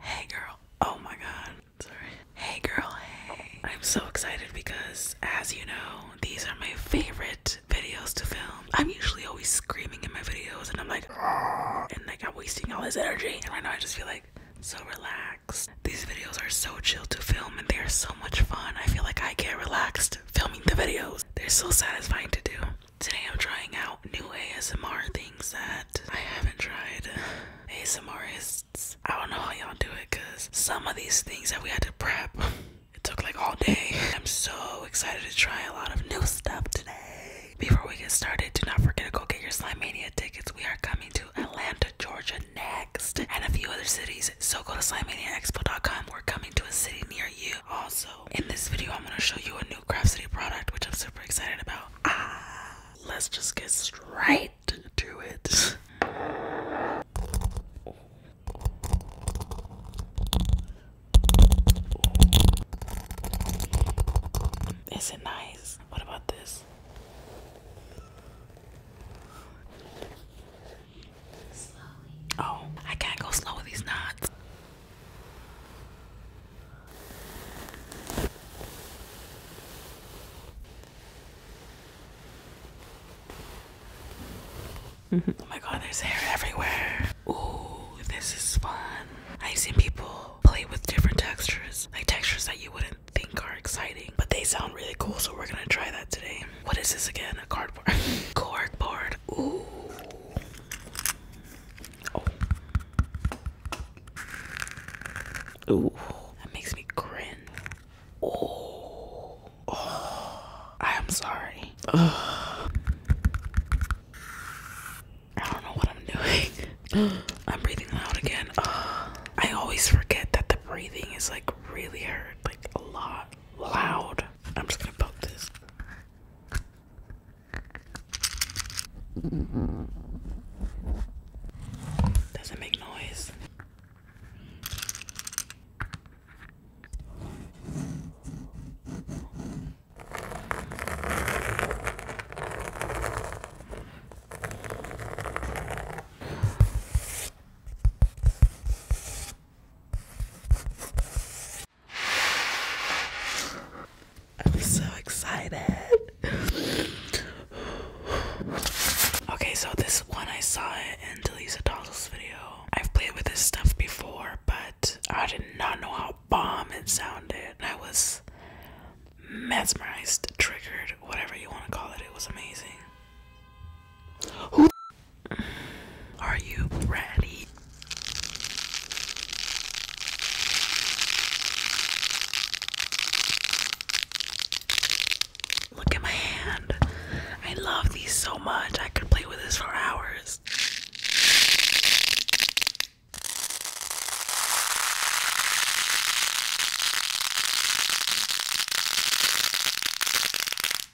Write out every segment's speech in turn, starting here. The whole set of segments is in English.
Hey girl. Oh my god. Sorry. Hey girl, hey. I'm so excited because, as you know, these are my favorite videos to film. I'm usually always screaming in my videos and I'm like, and like I'm wasting all this energy. And right now I just feel like so relaxed. These videos are so chill to film and they are so much fun. I feel like I get relaxed filming the videos. They're so satisfying to do. Today I'm trying out new ASMR things that I haven't tried. ASMRists, I don't know how y'all do it because some of these things that we had to prep, it took like all day. I'm so excited to try a lot of new stuff today. Before we get started, do not forget to go get your Slime Mania tickets. We are coming to Atlanta, Georgia next and a few other cities. So go to SlimeManiaExpo.com. We're coming to a city near you. Also, in this video, I'm going to show you a new new Craft City product, which I'm super excited about. Ah, let's just get straight to it. Is it nice? What about this? Oh, I can't go slow with these knots. Mm-hmm. oh my god, there's hair everywhere. Ooh, this is fun. I've seen people play with different textures, like textures that you wouldn't think are exciting, but they sound really cool, so we're gonna try that today. What is this again? A cardboard. Corkboard. Ooh. Oh. Ooh, that makes me grin. Oh. Oh. I am sorry. Ugh. I don't know what I'm doing. I'm breathing loud again. Uh, I always forget that the breathing is like really hurt, like a lot loud. I'm just gonna pop this. Doesn't make noise. I'm so excited. okay, so this one I saw it in Delisa Dolls' video. I've played with this stuff before, but I did not know how bomb it sounded. I was mesmerized, triggered, whatever you want to call it. It was amazing. Who are you ready? Look at my hand. I love these so much. I could play with this for hours.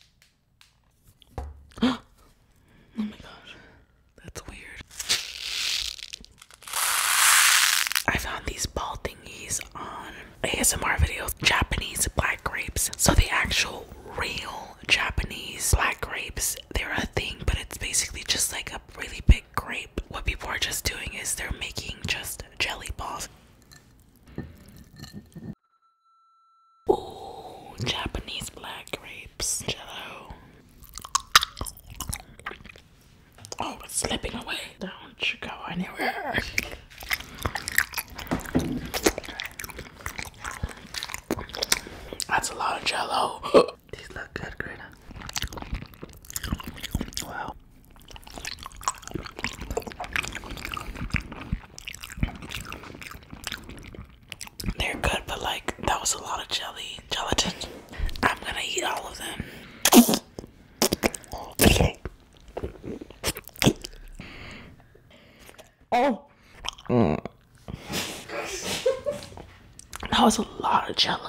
oh my gosh, that's weird. I found these ball thingies on ASMR videos. Japanese black grapes. So the actual real Japanese black grapes, they're a thing, but it's basically just like a really big grape. What people are just doing is they're making just jelly balls. Oh, Japanese black grapes, jello. Oh, it's slipping away. Don't you go anywhere. That's a lot of jello. These look good, Greta. Wow. They're good, but like that was a lot of jelly gelatin. I'm gonna eat all of them. Oh, that was a lot of jelly.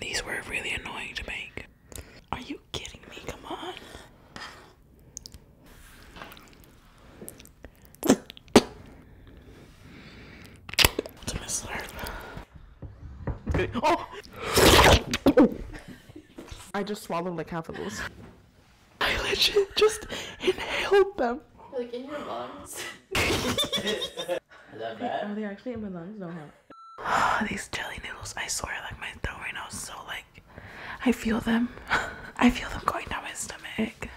These were really annoying to make. Are you kidding me? Come on. It's a mislurp. Oh! I just swallowed like half of those. I legit just inhaled them. Like in your lungs. Is that bad? Are oh, they actually in my lungs? No. Huh? These jelly noodles, I swear, like my throat right now is so like, I feel them. I feel them going down my stomach.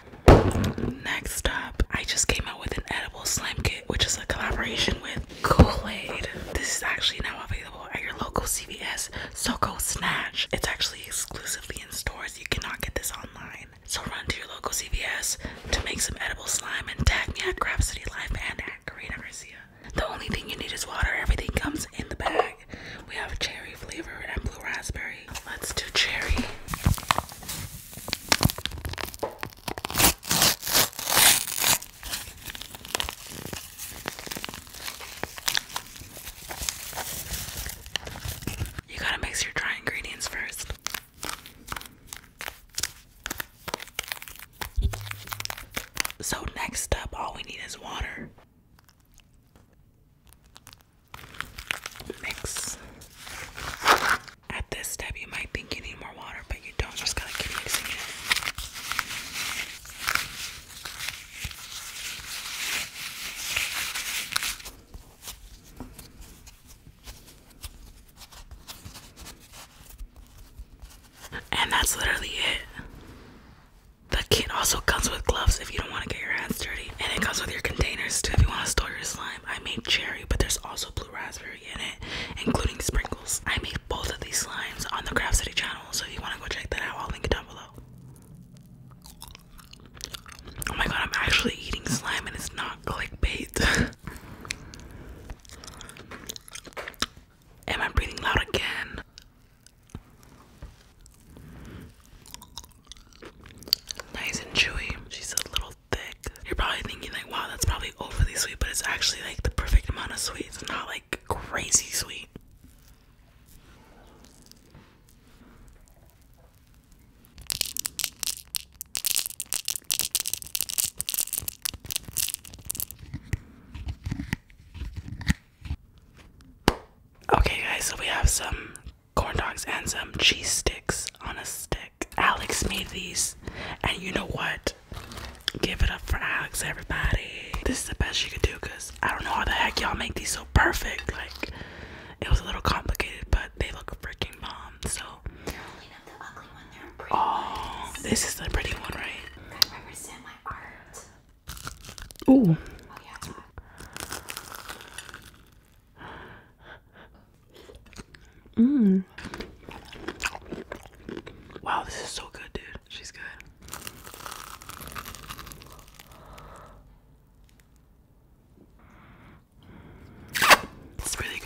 Next up, I just came out with an edible slime kit, which is a collaboration with Kool-Aid. This is actually now available at your local CVS. So go snatch. It's actually exclusively in stores. You cannot get this online. So run to your local CVS to make some edible slime and tag me at Graph City Life and at Karina Garcia. The only thing you need is water. Everything comes in the bag. We have cherry flavor and blue raspberry. Let's do cherry. You gotta mix your dry ingredients first. So, next up, all we need is water. Mix. At this step, you might think you need more water, water, but you don't just gotta keep mixing it. And that's literally it. The kit also comes with gloves if you don't want to get your hands dirty. And it comes with your containers too if you want to store your slime. I made cherry, but there's also blue raspberry including sprinkles. I made both of these slimes on the Craft City channel, so if you want to go check that out, I'll link it down below. Oh my god, I'm actually eating slime and it's not clickbait. Am I breathing loud again? Nice and chewy. She's a little thick. You're probably thinking like, wow, that's probably overly sweet, but it's actually like the perfect amount of sweet. It's not like crazy sweet. Okay, guys, so we have some corn dogs and some cheese sticks on a stick. Alex made these, and you know what? Give it up for Alex, everybody. This is the best you could do, cause I don't know how the heck y'all make these so perfect. Like, it was a little complicated, but they look freaking bomb. So. They're oh, the ugly one. they this is the pretty one, right? Ooh. Mmm. Wow, this is so good, dude. She's good. It's really good.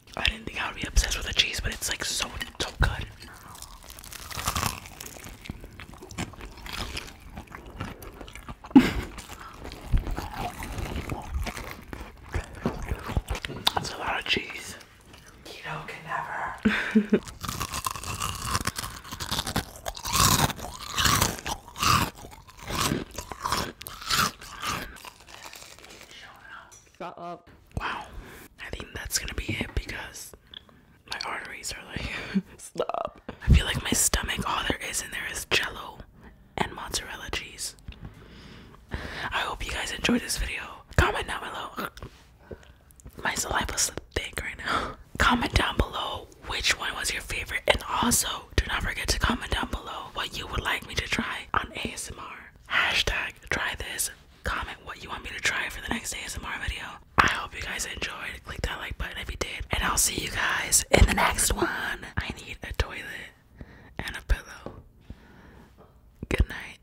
I didn't think I would be obsessed with the cheese, but it's like so so good. That's a lot of cheese. Keto can never. Shut up. Wow. I think that's gonna be it because my arteries are like, stop. I feel like my stomach, all there is in there is jello and mozzarella cheese. I hope you guys enjoyed this video. Comment down below. My saliva's thick right now. Comment down below which one was your favorite, and also do not forget to comment down below what you would like me to try on ASMR. Hashtag try this. Comment what you want me to try for the next ASMR video. I hope you guys enjoyed. Click that like button if you did. And I'll see you guys in the next one. I need a toilet and a pillow. Good night.